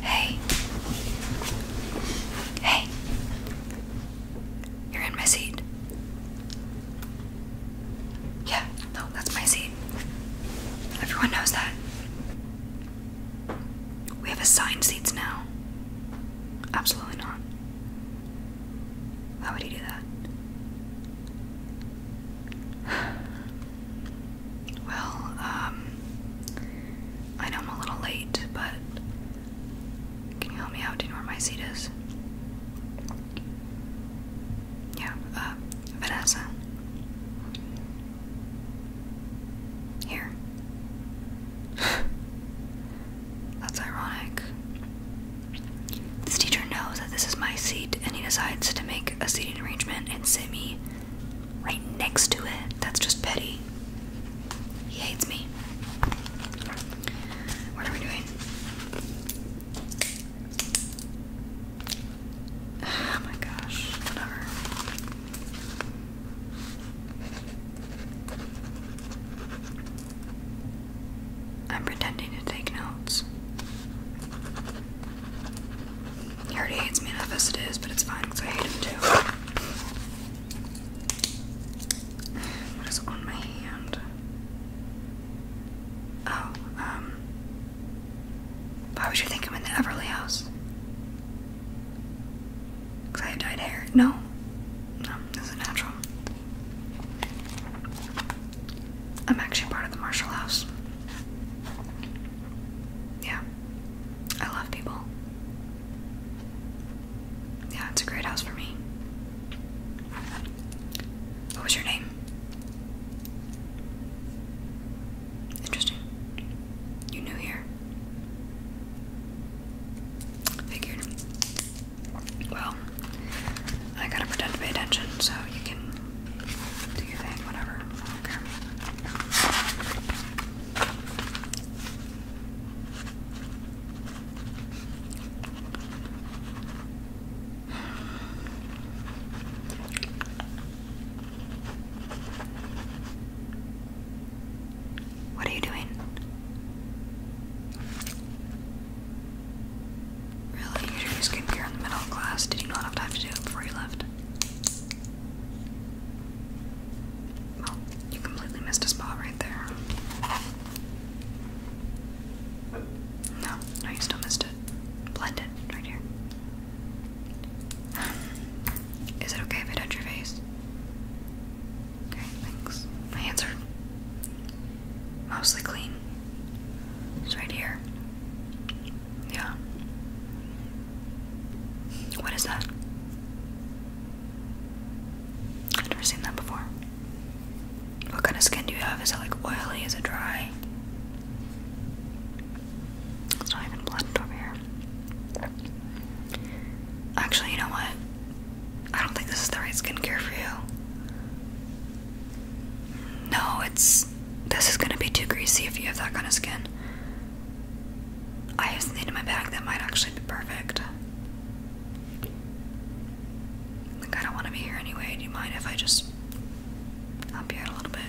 Hey. Hey. You're in my seat. Yeah, no, that's my seat. Everyone knows that. We have assigned seats now. Absolutely not. Why would he do that? Well, um, I know I'm a little late, but can you help me out? Do you know where my seat is? Yeah, uh, Vanessa. Here. That's ironic. This teacher knows that this is my seat and he decides to make a seating arrangement and sit me right next to it. That's just petty. He hates me. What are we doing? Oh my gosh, whatever. I'm pretending to take notes. He already hates me enough as it is, but it's fine because I hate him too. What is on my hand? Oh, um. Why would you think I'm in the Everly house? I have dyed hair. No. No, this is natural. I'm actually part of the Marshall house. Yeah. I love people. Yeah, it's a great house for me. What was your name? Interesting. You knew here. Figured. Well, I gotta pretend to pay attention so you can do you think? Whatever. Okay. What are you doing? Really? You did your skincare in the middle of class? Did you not have time to do before you left? Well, oh, you completely missed a spot right there. No, no, you still missed it. Blend it right here. Is it okay if I touch your face? Okay, thanks. My hands are mostly clean. It's right here. Yeah. What is that? I've never seen that before. What kind of skin do you have? Is it like oily? Is it dry? It's not even blended over here. Actually, you know what? I don't think this is the right skincare for you. No, it's this is gonna be too greasy if you have that kind of skin. I have something in my bag that might actually be perfect. Like, I don't want to be here anyway. Do you mind if I just help you out a little bit?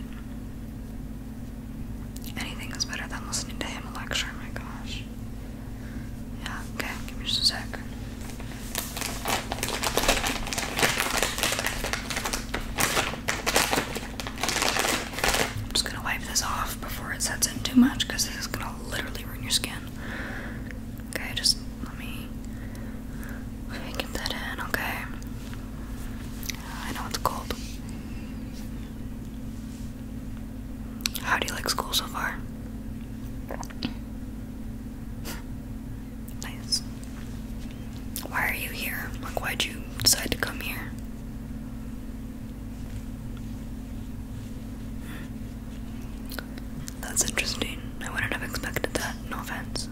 Anything is better than listening to him lecture. my gosh. Yeah, okay, give me just a sec. I'm just gonna wipe this off before it sets in too much because this is gonna literally ruin your skin. Okay, just let me get that in, okay? I know it's cold. How do you like school so far? Nice. Why are you here? Like, why'd you decide to come here? That's interesting. I wouldn't have expected that. No offense.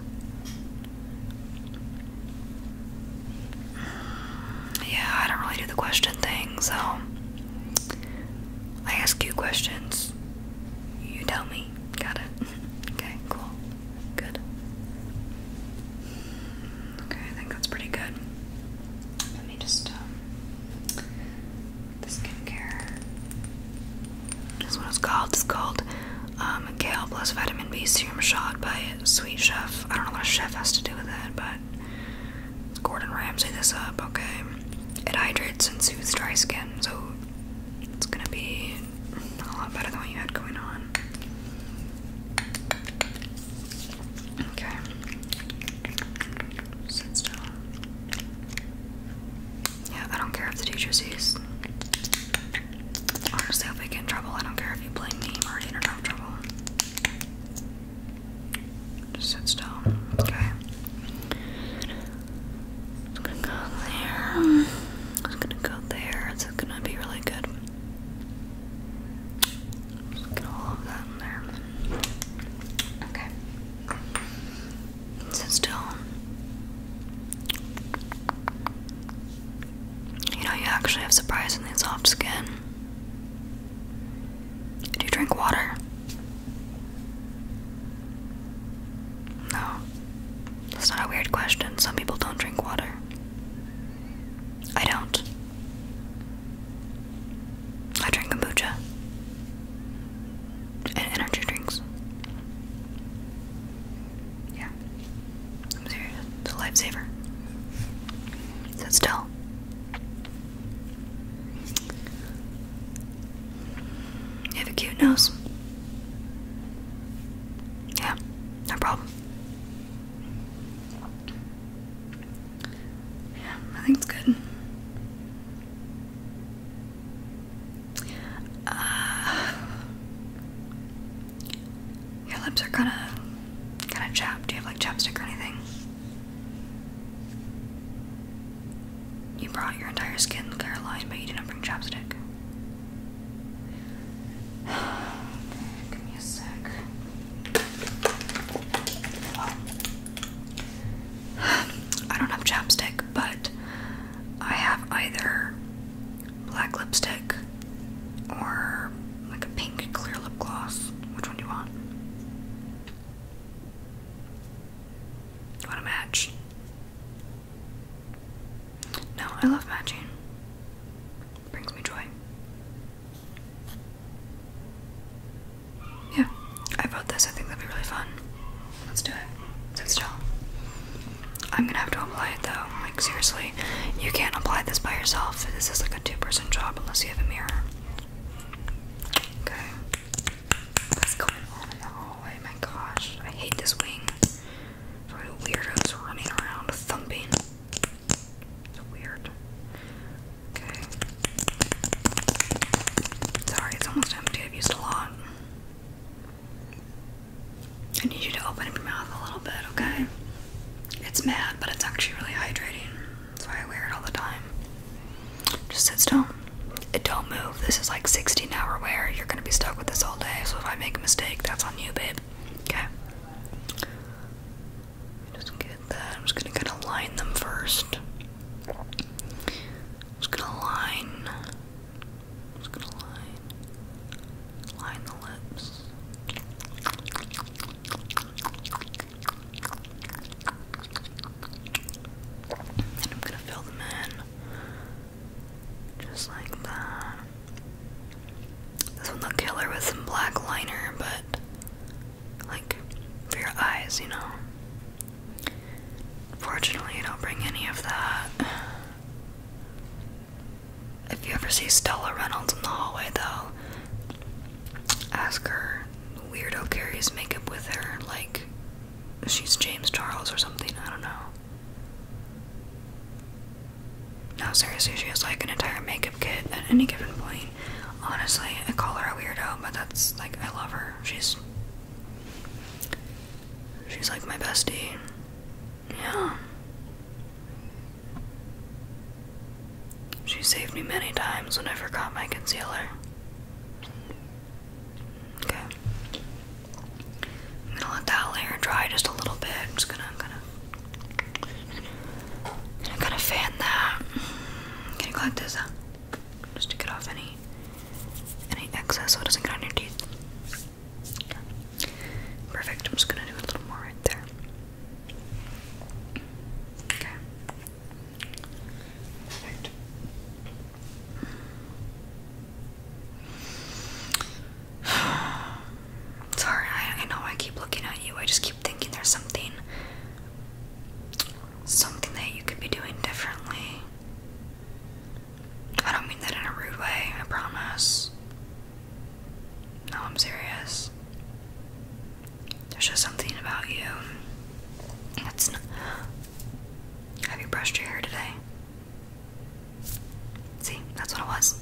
Yeah, I don't really do the question thing, so I ask you questions. You tell me. Got it? okay, cool. Good. Okay, I think that's pretty good. Let me just, um, the skincare. This one is called, it's called, um, Kale Plus Vitamin B Serum Shot by Sweet Chef. I don't know what a chef has to do with it, but Gordon Ramsay this up, okay. It hydrates and soothes dry skin, so it's gonna be a lot better than what you had going on. Okay. Sit still. Yeah, I don't care if the teacher sees. Honestly, if I get in trouble, I don't care if you blame me. I'm already in enough trouble. Just sit still. Okay. I'm gonna go there. I'm gonna go there. It's gonna be really good. Okay. Sit still. You know, you actually have surprisingly soft skin. Do you drink water? No. That's not a weird question. Some people don't drink water. I don't. I drink kombucha and energy drinks. Yeah. I'm serious. It's a lifesaver. Sit still. You have a cute nose. Yeah, no problem. Yeah, I think it's good. Uh, your lips are kind of, kind of chapped. Do you have like chapstick or anything? You brought your entire skin, clear line, but you didn't bring chapstick. Give me a sec. I don't have chapstick, but I have either black lipstick or like a pink clear lip gloss. Which one do you want? want to match? No, I love matching. Brings me joy. Yeah, I bought this. I think that'd be really fun. Let's do it. So, still. I'm gonna have to apply it though. Like, seriously, you can't apply this by yourself. This is like a two person job unless you have a mirror. Okay. What's going on in My gosh, I hate this wing weirdos running around thumping. It's weird. Okay. Sorry, it's almost empty. I've a lot. I need you to open up your mouth a little bit, okay? It's mad, but it's actually really hydrating. That's why I wear it all the time. Just sit still. Don't move. This is like 16 hour wear. You're gonna be stuck with this all day, so if I make a mistake, that's on you, babe. Okay. Just get that. I'm just gonna kind of line them 1st just gonna line. just gonna line. Line the lips. And I'm gonna fill them in. Just like that. This one look killer with some black liner, but like for your eyes, you know. Fortunately, I don't bring any of that. If you ever see Stella Reynolds in the hallway, though, ask her. Weirdo carries makeup with her, like she's James Charles or something. I don't know. No, seriously, she is like an entire makeup kit at any given point. Honestly, I call her a weirdo, but that's like I love her. She's she's like my bestie. Yeah. She saved me many times when I forgot my concealer. Okay. I'm gonna let that layer dry just a little bit. I'm just gonna, I'm gonna, I'm gonna kind of fan that. I'm gonna collect this out uh, just to get off any any excess so it doesn't get on your teeth. Okay. Perfect. I'm just gonna do a little more right there. Okay. Perfect. Sorry, I, know I keep looking at you. I just keep thinking there's something. Something that you could be doing differently. I don't mean that in a rude way, I promise. No, I'm serious. There's just something about you. That's not. Have you brushed your hair today? See, that's what it was.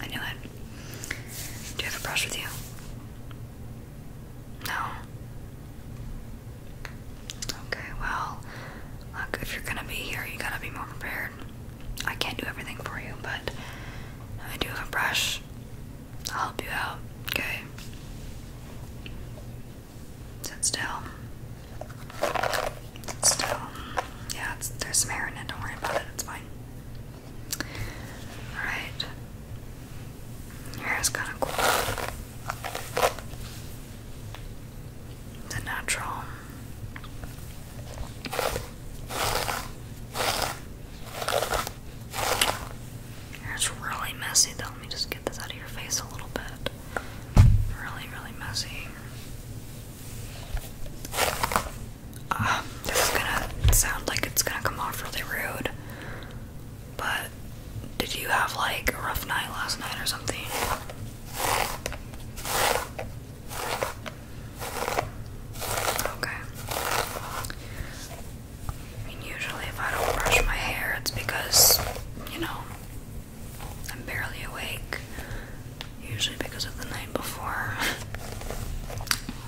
I knew it. Do you have a brush with you? No. Okay, well, look, if you're gonna be here, you gotta be more prepared. I can't do everything for you, but I do have a brush. I'll help you out, okay? Sit still. Still, yeah, there's some hair in it. Don't worry about it. It's fine. All right. Your hair is kind of cool. The natural. It's really messy though. Let me just get this out of your face a little bit. Really, really messy. Ah, this is gonna sound like it's gonna come off really rude, but did you have like a rough night last night or something? Okay. I usually if I don't brush my hair, it's because, you know, I'm barely awake, usually because of the night before.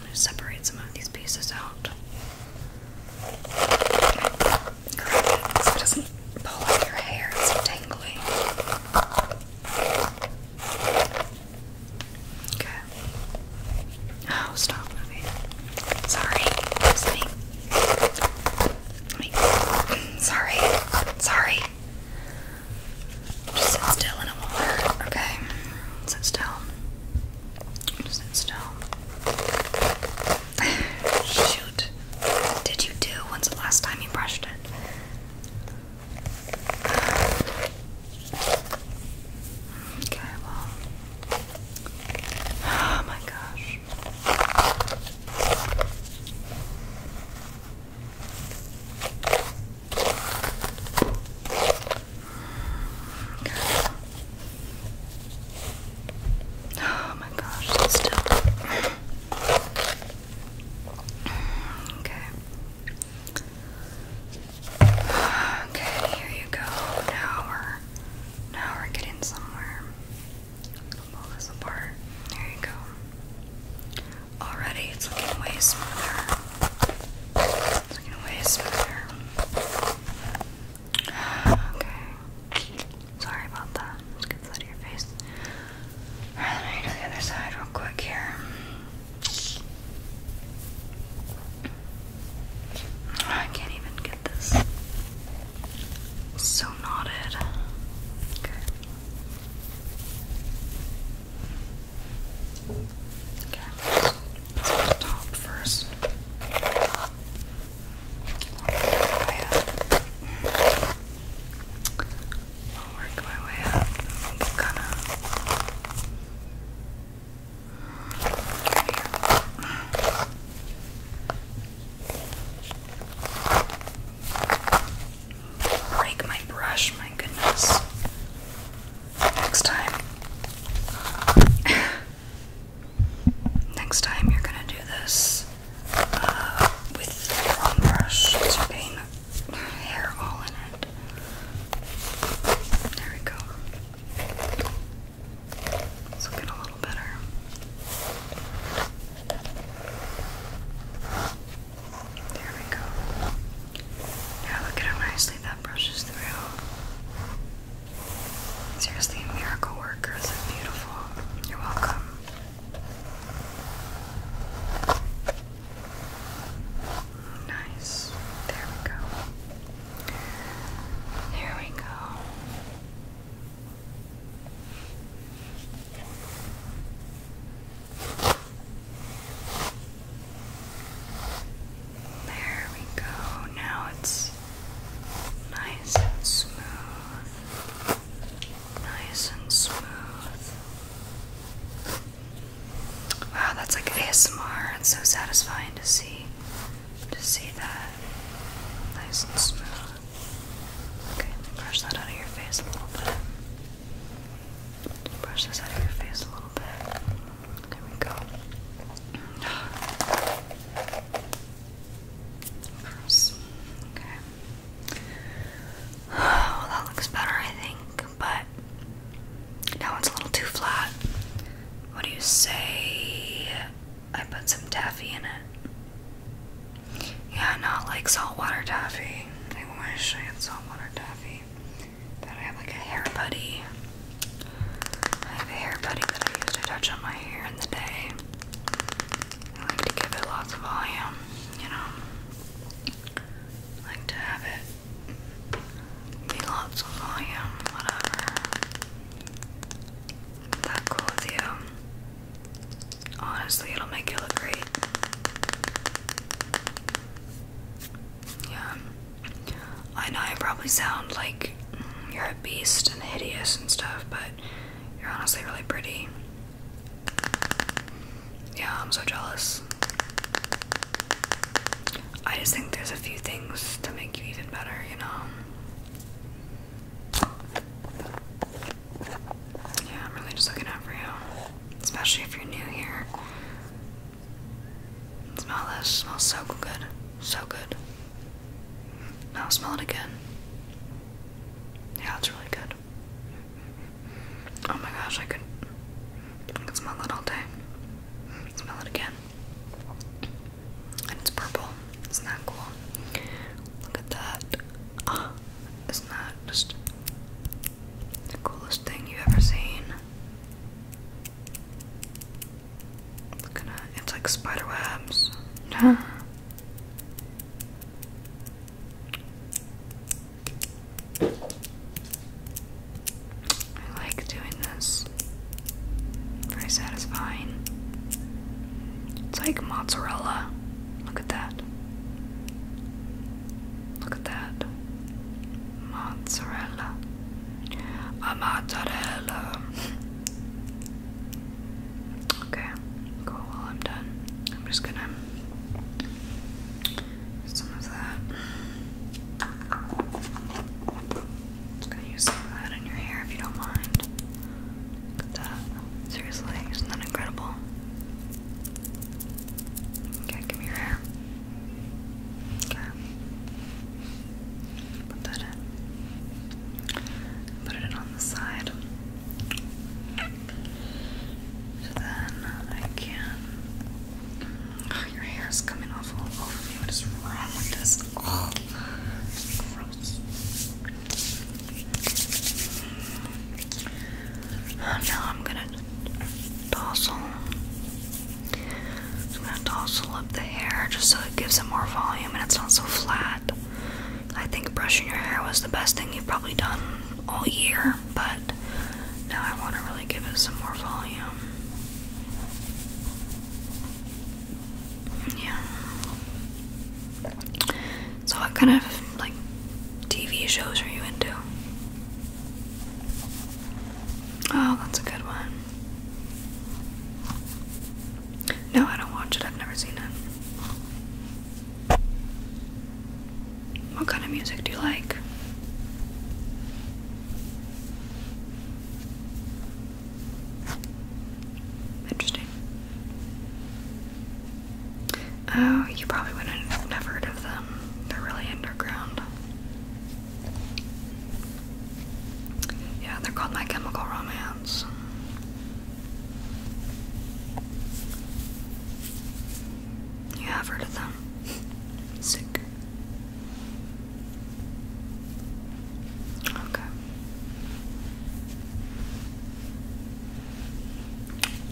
I'm separate some of these pieces out. Great, so it doesn't pull on your hair, it's so Okay. Oh, stop moving. Sorry, Sorry, sorry sit still and it will okay? Sit still. sit still. Shoot. What did you do? When's the last time you brushed it? Okay, well. Oh my gosh. Oh my gosh, still. Okay. Okay, here you go. Now we're now we're getting somewhere pull this apart. There you go. Already it's looking way smoother. It's looking way smoother. Okay. Sorry about that. Let's get this out of your face. let me do the other side real quick here. I can't even get this so knotted. Okay. Okay, let's put first. I'll work my way up. I'll be going break my brush, my goodness. Next time. Next time you're gonna do this uh, with the wrong brush to paint hair all in it. There we go. It's looking a little better. There we go. Now look at how nicely that brushes through. Seriously, miracle worker. This is beautiful. You're welcome. Nice. There we go. There we go. There we go. Now it's nice and smooth. Nice and smooth. Wow, that's like ASMR. It's so satisfying to see to see that. Nice and smooth. Okay, brush that out of your face a little bit. Brush this out of your face a little bit. There we go. Gross. Okay. Well, oh, that looks better, I think, but now it's a little too flat. What do you say? I put some taffy in it. Yeah, not like saltwater daffy. I wish I had saltwater taffy. But I have like a hair buddy. I have a hair buddy that I use to touch on my hair in the day. I like to give it lots of volume, you know. like to have it be lots of volume, whatever. That cool you. Honestly, it'll make you look great. Yeah. I know I probably sound like mm, you're a beast and hideous and stuff, but you're honestly really pretty. Yeah, I'm so jealous. I just think there's a few things to make you even better, you know? Yeah, I'm really just looking out for you. Especially if you're new here. Smell this. Smells so good. So good. Now smell it again. Yeah, it's really good. Oh my gosh, I could, smell it all day. Smell it again. And it's purple. Isn't that cool? Look at that. isn't that just the coolest thing you've ever seen? It's like spider webs. I like doing this. Very satisfying. It's like mozzarella. Look at that. Look at that. Mozzarella. A mozzarella. Okay, cool. Well, I'm done. I'm just gonna some of that. I'm gonna use some of that in your hair if you don't mind. Seriously, isn't that incredible? Okay, give me your hair. Okay. Put that in. Put it on the side. then I can. your hair is coming off all over me. What is wrong with this? Oh, Oh, now I'm gonna tousle. I'm gonna tousle up the hair just so it gives it more volume and it's not so flat. I think brushing your hair was the best thing you've probably done all year, but now I want to really give it some more volume. Yeah. So what kind of like TV shows are you into? Oh, that's a good one. No, I don't watch it. I've never seen it. What kind of music do you like? Interesting. Oh, you probably wouldn't have heard of them. They're really underground. Yeah, they're called My Chemical Romance. You have heard of them. Sick. Okay.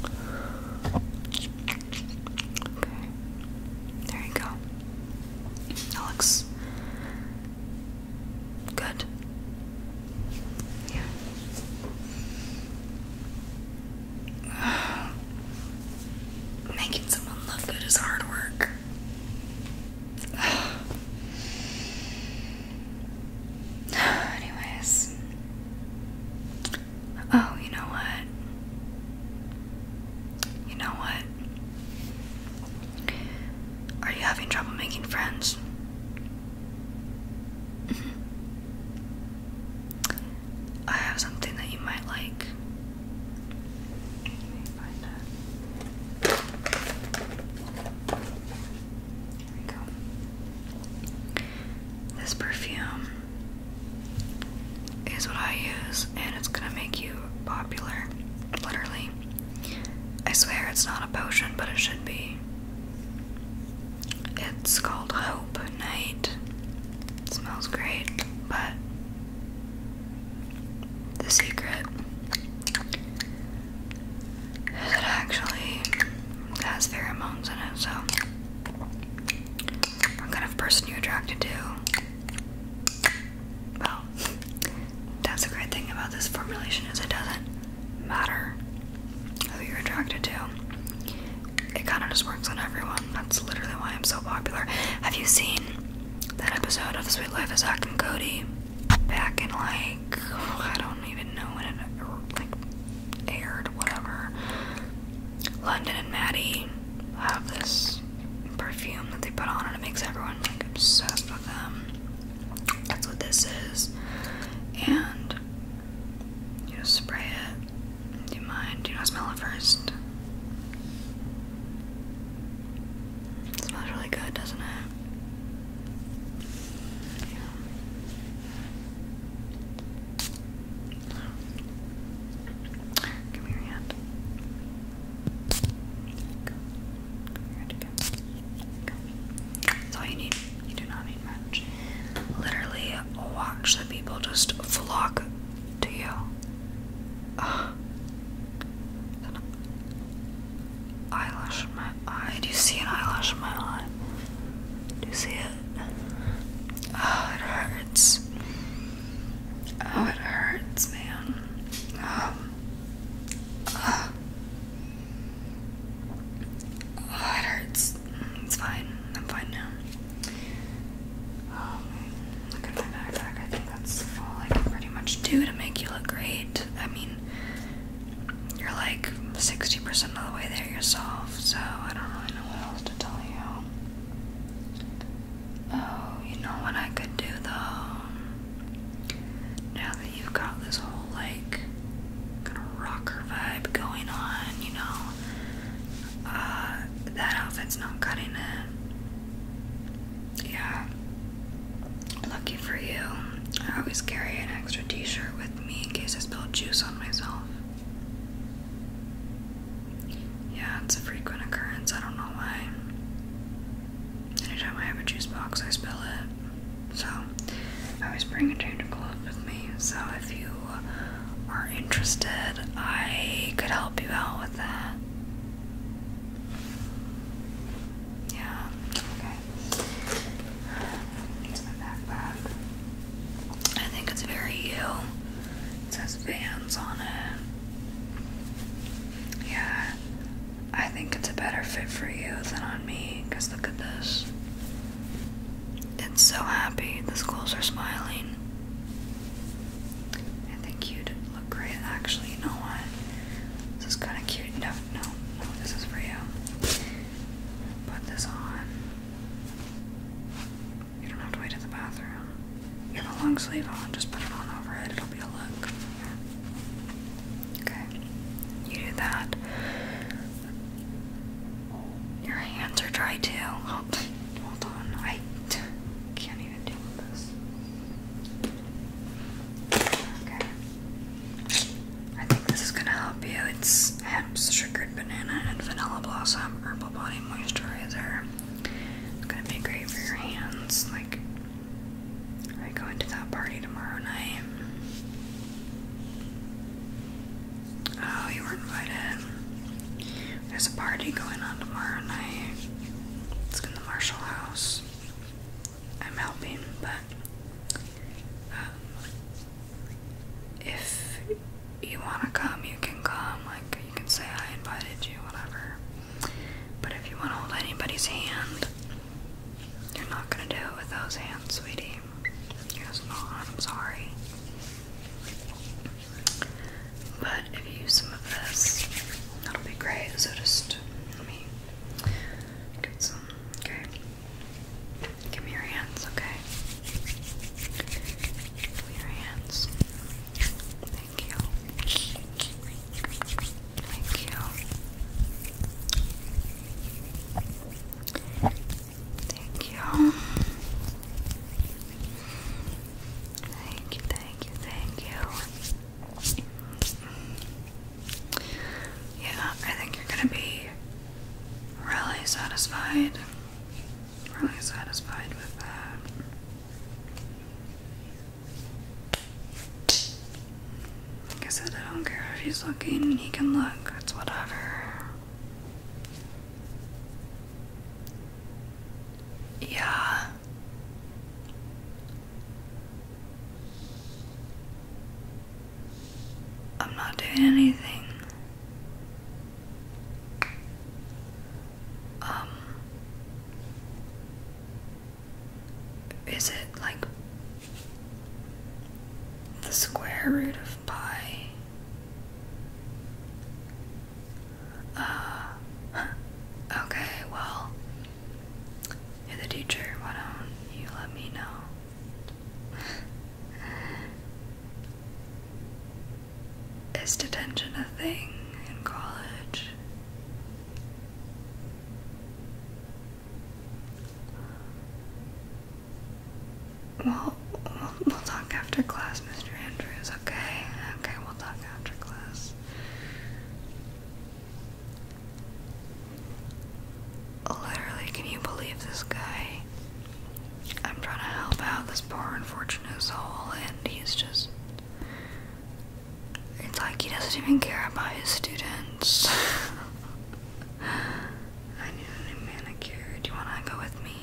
Okay. There you go. That looks good. Yeah. Making someone look good is hard work. Anyways. Oh, you know what? You know what? Are you having trouble making friends? Mm-hmm. I have something that you might like. This perfume is what I use, and it's gonna make you popular. Literally. I swear it's not a potion, but it should be. It's called Hope Night. smells great, but the secret it actually has pheromones in it, so what kind of person you're attracted to. Well, that's the great thing about this formulation is it doesn't matter who you're attracted to. It kind of just works on everyone. That's literally why I'm so popular. Have you seen that episode of Sweet Life of Zach and Cody? back in like I don't even know when it like aired, whatever. London and Maddie have this perfume that they put on and it makes everyone obsessed with them. That's what this is. And you spray it. Do you mind? Do you want smell it first? It smells really good, doesn't it? Give me hand. Go. Your Go. That's all you need. You do not need much. Literally, watch the people just flock to you. Uh, eyelash in my eye. Do you see an eyelash in my eye? Do you see it? Oh, it hurts. Oh, it hurts, man. Um, uh, oh, it hurts. It's fine. I'm fine now. Um, look at my backpack. I think that's all I pretty much do to make you look great. I mean, you're like 60% of the way there yourself, so I don't really know what else to tell you. Oh, you know what I could do though? Now that you've got this whole like kind of rocker vibe going on, you know, uh, that outfit's not cutting it. Yeah, Lucky for you, I always carry an extra t shirt with me in case I spill juice on myself. Yeah, it's a frequent occurrence, I don't know why. Anytime I have a juice box, I spill it. So, I always bring a change of clothes with me. So, if you are interested, I could help you out with that. Yeah, okay. I think it's very you. It says Vans on it. Yeah, I think it's a better fit for you than on me. Cause look at this. It's so happy. The schools are smiling. I think you'd look great. Actually, you know what? This is kind of cute. No, no, no, this is for you. Put this on. You don't have to wait at the bathroom. You have a long sleeve on, just put it on over it, it'll be a look. Okay, you do that. Your hands are dry too. Hold on, I can't even deal this. I think this is gonna help you. It's hemp's sugared banana and vanilla blossom herbal body moisturizer. It's gonna be great for your hands. Like I go into that party tomorrow night. Oh, you were invited. There's a party going on tomorrow night. It's in the Marshall House. I'm helping, but um, if you want to come, you can come. Like, you can say I invited you, whatever. But if you want to hold anybody's hand, you're not going to do it with those hands, sweetie. You're not. I'm sorry. But if you use some of this, that'll be great. So just let me get some Okay. Give me your hands, okay? Give me your hands. Thank you. Thank you. Thank you. Thank you, thank you, thank you. Yeah, I think you're gonna be really satisfied. Really satisfied with that. Like I said, I don't care if he's looking, he can look, it's whatever. Yeah. I'm not doing anything. Um, is it like the square root of pi? Uh, okay, well, you're the teacher, why don't you let me know? Is detention a thing in college? Well, we'll talk after class, Mr. Andrews, okay? Okay, we'll talk after class. Literally, can you believe this guy? I'm trying to help out this poor unfortunate soul, and he's just. It's like he doesn't even care about his students. I need a new manicure. Do you want to go with me?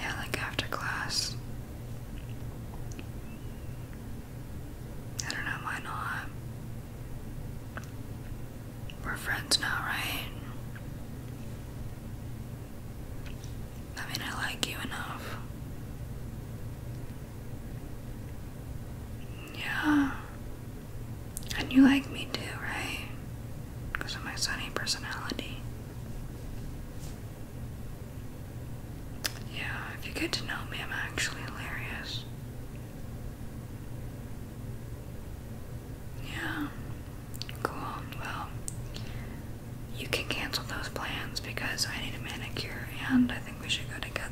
Yeah, like after class. I don't know, why not? We're friends now, right? I mean, I like you enough. Yeah. And you like me too, right? Because of my sunny personality. Yeah, if you get to know me, I'm actually hilarious. Yeah, cool. Well, you can cancel those plans because I need a manicure and I think we should go together.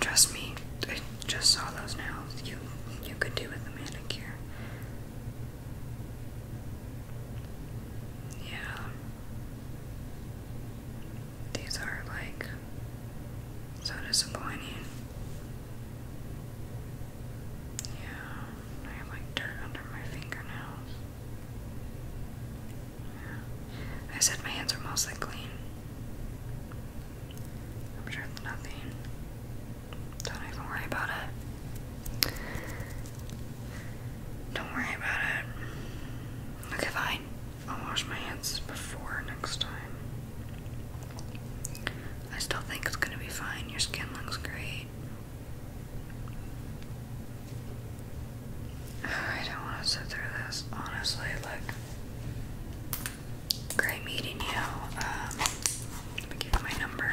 trust me, I just saw those nails. You you could do with a manicure. Yeah. These are like so disappointing. Yeah, I have like dirt under my fingernails. Yeah. I said my hands are mostly clean. I'm sure nothing don't even worry about it. Don't worry about it. Okay, fine. I'll wash my hands before next time. I still think it's gonna be fine. Your skin looks great. I don't want to sit through this, honestly. Like, great meeting you. Um, give my number.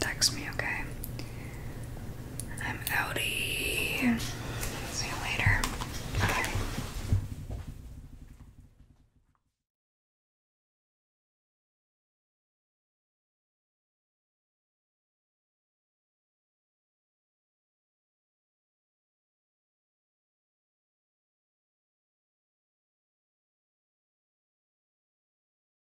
Text me, okay? I'm outie. See you later. Bye.